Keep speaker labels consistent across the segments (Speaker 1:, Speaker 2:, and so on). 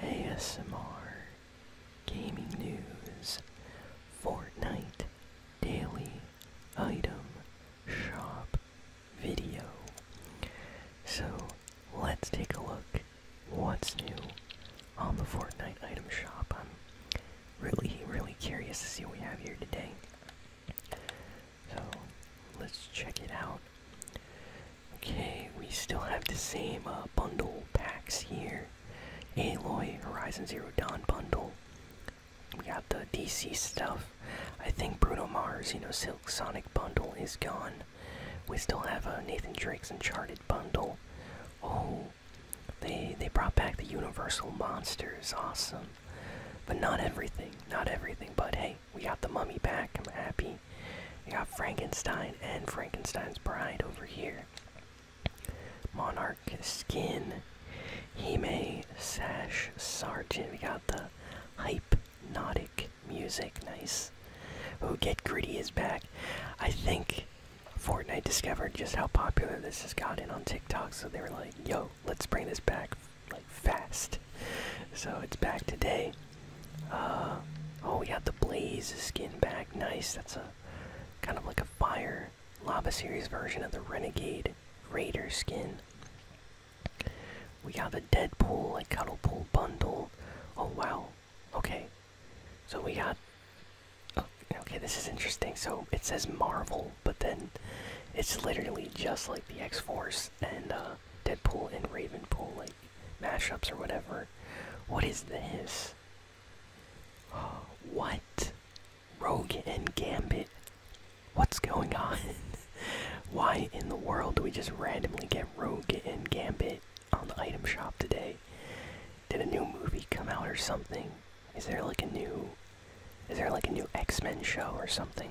Speaker 1: ASMR, gaming news, Fortnite daily item shop video. So let's take a look what's new on the Fortnite item shop. I'm really, really curious to see what we have here today. So let's check it out. Okay, we still have the same uh, bundle packs here. Aloy Horizon Zero Dawn bundle. We got the DC stuff. I think Bruno Mars, you know, Silk Sonic bundle is gone. We still have a Nathan Drake's Uncharted bundle. Oh, they they brought back the Universal monsters. Awesome, but not everything. Not everything. But hey, we got the mummy back. I'm happy. We got Frankenstein and Frankenstein's bride over here. Monarch skin. Hime sash sergeant. We got the hypnotic music. Nice. Oh, Get Gritty is back. I think Fortnite discovered just how popular this has gotten on TikTok, so they were like, yo, let's bring this back like fast. So it's back today. Uh, oh, we got the Blaze skin back. Nice. That's a kind of like a fire lava series version of the Renegade Raider skin. We got the Deadpool like Cuddlepool bundle. Oh wow. Okay. So we got. Oh, okay, this is interesting. So it says Marvel, but then it's literally just like the X Force and uh, Deadpool and Ravenpool like mashups or whatever. What is this? What? Rogue and Gambit. What's going on? Why in the world do we just randomly get Rogue and Gambit on the item shop today? Did a new movie come out or something? Is there like a new is there like a new X-Men show or something?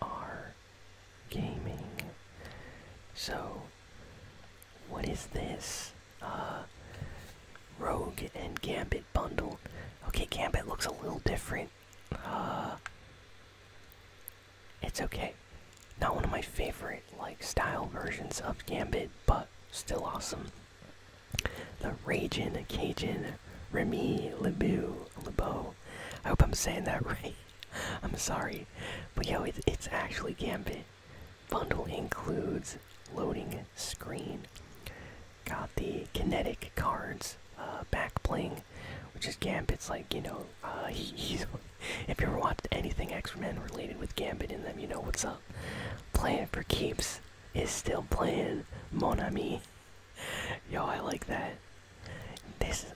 Speaker 1: are gaming. So, what is this? Uh, Rogue and Gambit bundle. Okay, Gambit looks a little different. Uh, it's okay. Not one of my favorite like style versions of Gambit, but still awesome. The Ragin, Cajun, Remy, Lebu, Lebeau. I hope I'm saying that right. I'm sorry, but yo, it's, actually Gambit. Bundle includes loading screen. Got the kinetic cards uh, back playing, which is Gambit. It's like you know uh, he's. If you ever watched anything X-Men related with Gambit in them, you know what's up. Playing for keeps is still playing Monami. Yo, I like that. This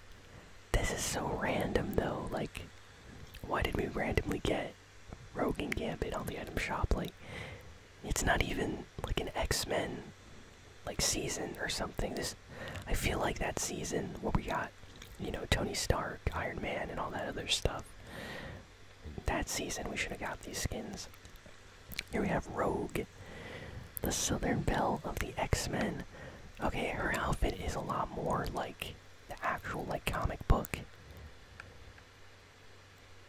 Speaker 1: this is so random though. Like, why did we randomly get Rogue and Gambit on the item shop? Like, it's not even like an X Men like season or something. This I feel like that season what we got you know Tony Stark, Iron Man, and all that other stuff. That season we should have got these skins. Here we have Rogue, the Southern Belle of the X-Men. Okay, her outfit is a lot more like the actual like comic book.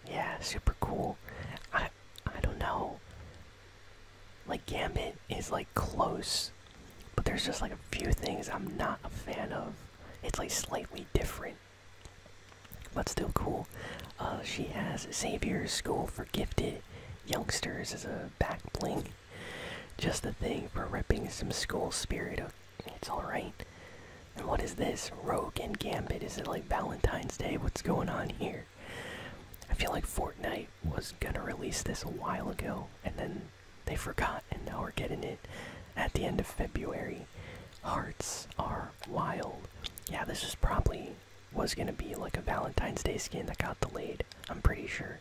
Speaker 1: Yeah, super cool. I I don't know. Like Gambit is like close, but there's just like a few things I'm not a fan of. It's like slightly different, but still cool. Uh, she has Xavier's School for Gifted, youngsters is a back bling. Just the thing for ripping some school spirit. It's alright. And what is this? Rogue and Gambit? Is it like Valentine's Day? What's going on here? I feel like Fortnite was gonna release this a while ago, and then they forgot, and now we're getting it at the end of February. Hearts are wild. Yeah, this is probably was gonna be like a Valentine's Day skin that got delayed. I'm pretty sure.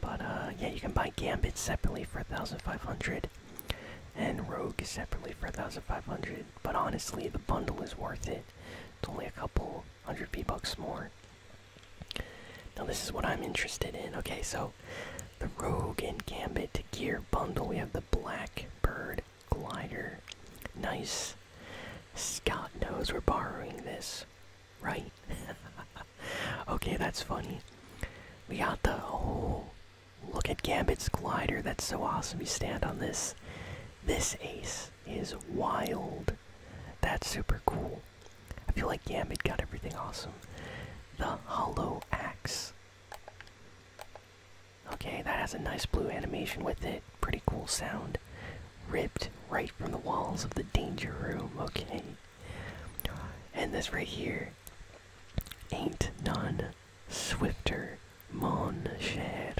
Speaker 1: But uh, yeah, you can buy Gambit separately for 1,500, and Rogue separately for 1,500. But honestly, the bundle is worth it. It's only a couple hundred V bucks more. Now this is what I'm interested in. Okay, so the Rogue and Gambit gear bundle. We have the Black Bird, glider. Nice. Scott knows we're borrowing this, right? okay, that's funny. We got the oh, look at Gambit's glider. That's so awesome. You stand on this. This ace is wild. That's super cool. I feel like Gambit got everything awesome. The hollow axe. Okay, that has a nice blue animation with it. Pretty cool sound. Ripped right from the walls of the danger room. Okay. And this right here ain't none swifter mon cher.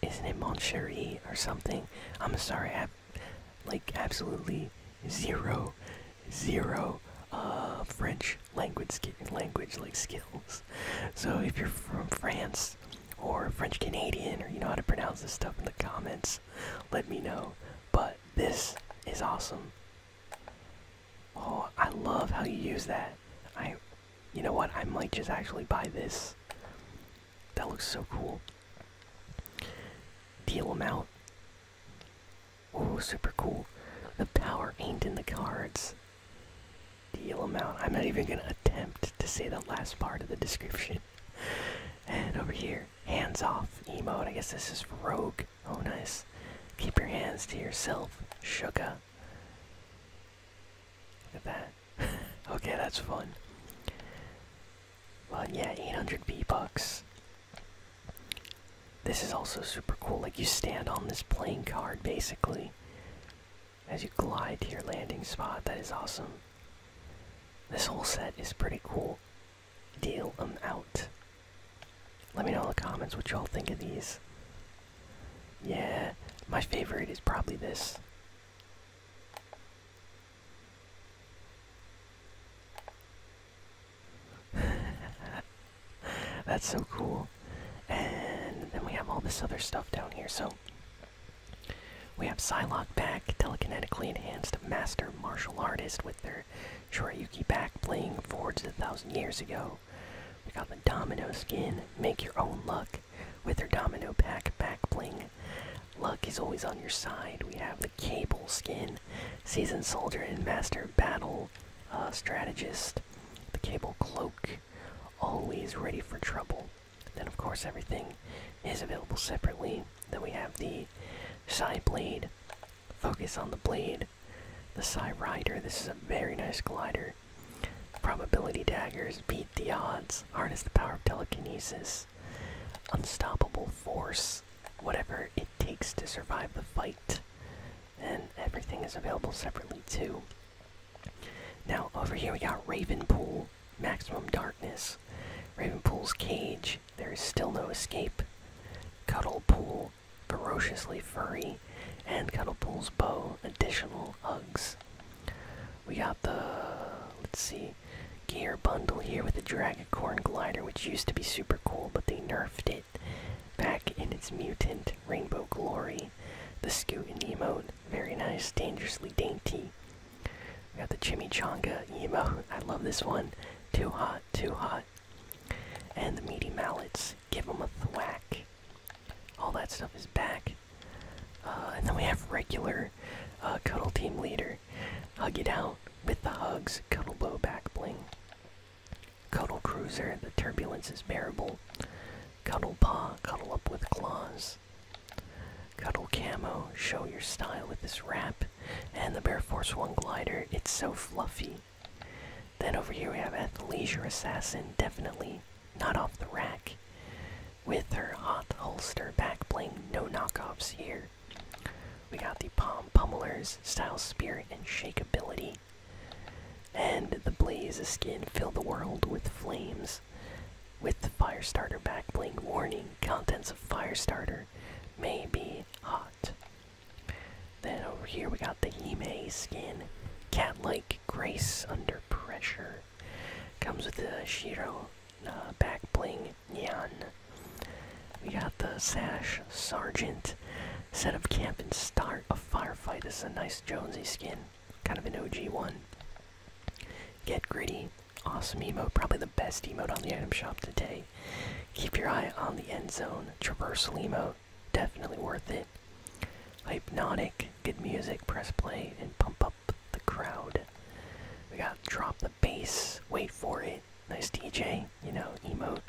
Speaker 1: Isn't it mon chéri or something? I'm sorry, I have like absolutely zero, zero uh, French language language like skills. So if you're from France or French Canadian or you know how to pronounce this stuff in the comments, let me know. But this is awesome. Oh, I love how you use that. I you know what? I might just actually buy this. That looks so cool. Deal them out Oh, super cool. The power ain't in the cards. Deal amount. I'm not even gonna attempt to say the last part of the description. and over here, hands off emote. I guess this is rogue. Oh, nice. Keep your hands to yourself, sugar. Look at that. okay, that's fun. But yeah, 800 B bucks. This is also super cool. Like you stand on this playing card basically as you glide to your landing spot. That is awesome. This whole set is pretty cool. Deal them out. Let me know in the comments what y'all think of these. Yeah, my favorite is probably this. That's so cool. And then we have all this other stuff down here. So we have Psylocke back, telekinetically enhanced master martial artist with their Shoryuki back, bling forged a thousand years ago. We got the Domino skin, make your own luck with their Domino pack, back bling. Luck is always on your side. We have the Cable skin, Seasoned Soldier and Master Battle uh, Strategist. The Cable Cloak. Always ready for trouble. Then, of course, everything is available separately. Then we have the side Blade. Focus on the blade. The side Rider. This is a very nice glider. Probability daggers. Beat the odds. Harness the power of telekinesis unstoppable force, whatever it takes to survive the fight. And everything is available separately too. Now over here we got Ravenpool, Maximum Darkness, Ravenpool's Cage, There is Still No Escape, Cuddlepool, Ferociously Furry, and Cuddlepool's Bow, Additional Hugs. We got the, let's see, gear bundle here with the dragon corn glider, which used to be super cool, but they nerfed it back in its mutant rainbow glory. The Scoot and emote, very nice, dangerously dainty. We got the Chimichanga emote, I love this one. Too hot, too hot. And the meaty mallets, give them a thwack. All that stuff is back. Uh, and then we have regular uh, cuddle team leader. Hug it out with the hugs. Cuddle bow back bling. Cuddle cruiser. The turbulence is bearable. Cuddle paw. Cuddle up with claws. Cuddle camo. Show your style with this wrap. And the Bear Force One glider. It's so fluffy. Then over here we have at the leisure assassin. Definitely not off the rack with her hot holster back bling no knockoffs here. We got the Palm Pummelers, Style Spirit, and Shakeability. And the Blaze skin fill the world with flames. With the Firestarter back bling warning, contents of fire starter may be hot. Then over here we got the Hime skin, cat-like grace under pressure. Comes with the Shiro uh, back bling Nyan. We got the Sash Sergeant. Set up camp and start a firefight. This is a nice Jonesy skin. Kind of an OG one. Get gritty. Awesome emote. Probably the best emote on the item shop today. Keep your eye on the end zone. Traverse emote. Definitely worth it. Hypnotic. Good music. Press play and pump up the crowd. We got drop the bass, wait for it. Nice DJ, you know, emote.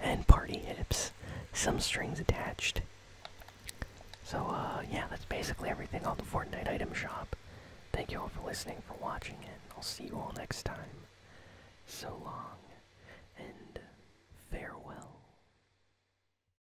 Speaker 1: And party hips, some strings attached. So, uh, yeah, that's basically everything on the Fortnite item shop. Thank you all for listening, for watching, and I'll see you all next time. So long, and farewell.